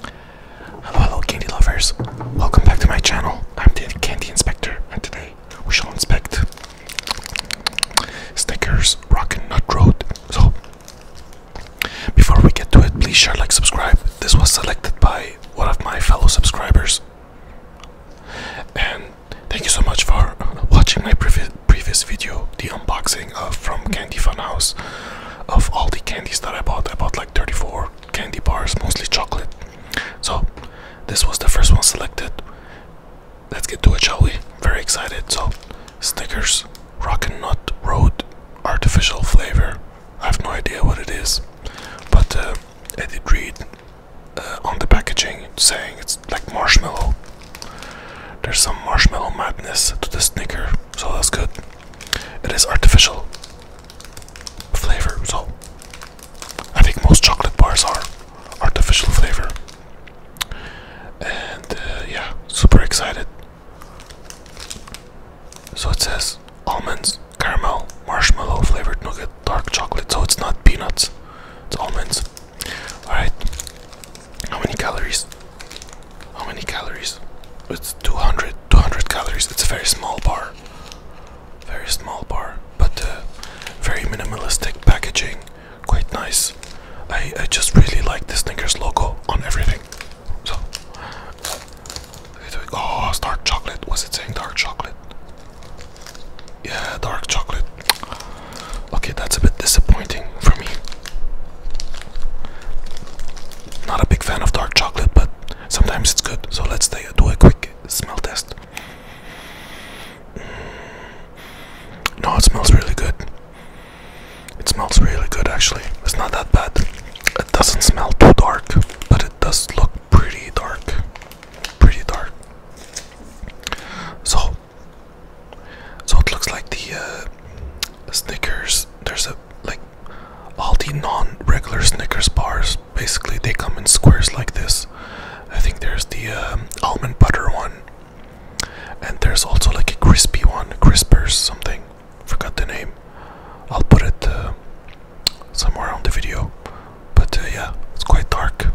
Hello, hello, candy lovers. Welcome back to my channel. I'm the Candy Inspector, and today we shall inspect Snickers Rockin' Nut Road. So, before we get to it, please share, like, subscribe. This was selected by one of my fellow subscribers. And thank you so much for watching my previous previous video, the unboxing of From Candy Fun House of all the candies that I bought. I bought like 34 candy bars, mostly chocolate. So this was the first one selected. Let's get to it, shall we? Very excited. So Snickers Rockin' Nut Road artificial flavor. I have no idea what it is, but uh, I did read uh, on the packaging saying it's like marshmallow there's some marshmallow madness to the snicker, so that's good. It is artificial flavor, so I think most chocolate bars are artificial flavor. And uh, yeah, super excited. So it says almonds, caramel, marshmallow flavored nougat, dark chocolate. So it's not peanuts, it's almonds. Alright, how many calories? How many calories? It's 200, 200 calories. It's a very small bar. Very small bar, but uh, very minimalistic packaging. Quite nice. I, I just really like the Snickers logo on everything. So, oh, dark chocolate. Was it saying dark chocolate? Yeah, dark chocolate. Okay, that's a bit disappointing for me. Not a big fan of dark chocolate, but sometimes it's good. So let's do a quick smell test. Mm. No, it smells really good. It smells really good actually. It's not that bad. It doesn't smell too dark, but it does look pretty dark. Pretty dark. So so it looks like the uh, Snickers. There's a like all the non-regular Snickers bars. Basically, they come in squares like this. I think there's the um, almond butter one, and there's also like a crispy one, crispers something. Forgot the name. I'll put it uh, somewhere on the video. But uh, yeah, it's quite dark.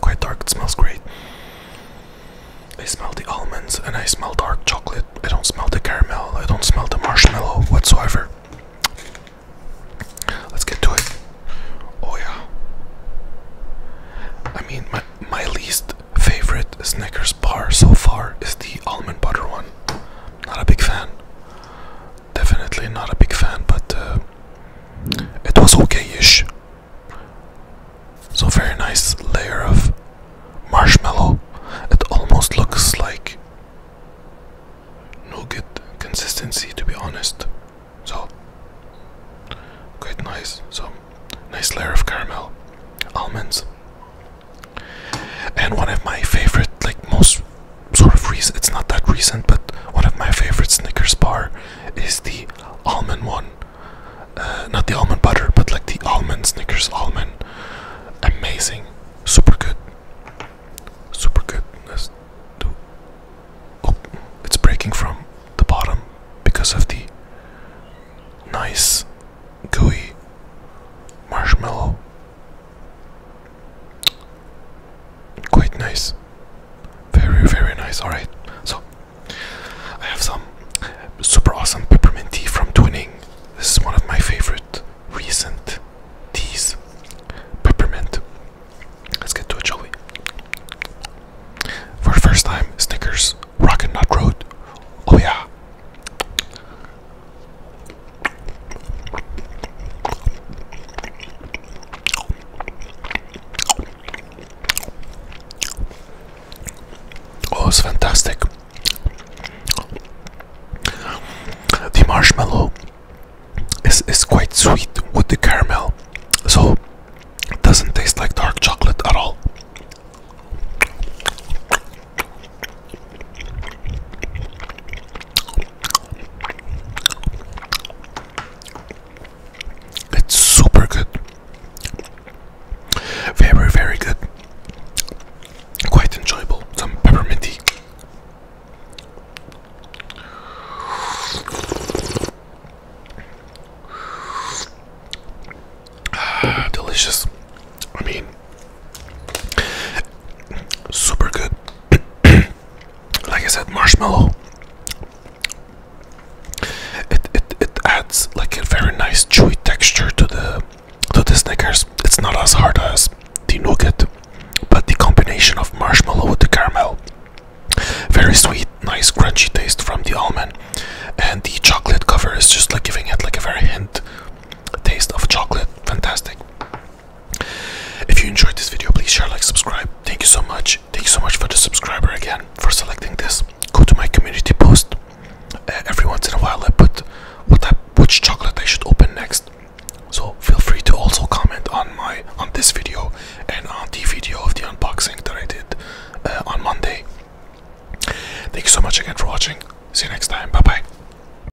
Quite dark, it smells great. I smell the almonds and I smell dark chocolate. I don't smell the caramel, I don't smell the marshmallow whatsoever. Let's get to it. Oh, yeah. I mean, my, my least favorite Snickers bar so far is the almond butter one. Not a big fan. Definitely not a big fan, but uh, it was okay ish. So very nice layer of marshmallow. It almost looks like nougat consistency to be honest. So quite nice. So nice layer of caramel. Almonds. And one of my favorite, like most sort of reason. it's not that recent, but one of my favorite Snickers bar is the almond one. Uh, not the almond butter, but like the almond Snickers almond. Amazing. Super good. Super good. Let's Oh, it's breaking from the bottom because of the nice gooey marshmallow Quite nice. Very, very nice. Alright, so I have some super awesome peppermint tea from Twinning. This is one of my favorite recent teas. Peppermint. Let's get to a shall For the first time, Snickers Rock and Nut Road. Oh, yeah. Oh, it's fantastic. The marshmallow is, is quite sweet with the caramel, so it doesn't taste like dark chocolate at all. It's super good. Very, very good. Quite enjoyable. Some peppermint ah, delicious. I mean, super good. like I said, marshmallow. It it it adds like a very nice chewy texture to the to the Snickers. It's not as hard as the nougat, but the combination of marshmallow with the caramel, very sweet, nice crunchy taste from the almond, and the chocolate cover is just like giving it like a very hint taste of chocolate. Fantastic. If you enjoyed this video, please share, like, subscribe. Thank you so much. Thank you so much for the subscriber again for selecting this. Go to my community post. Uh, every once in a while, I put what which chocolate I should open next. So feel free to also comment on my on this video and on the video of the unboxing that I did uh, on Monday. Thank you so much again for watching. See you next time. Bye bye.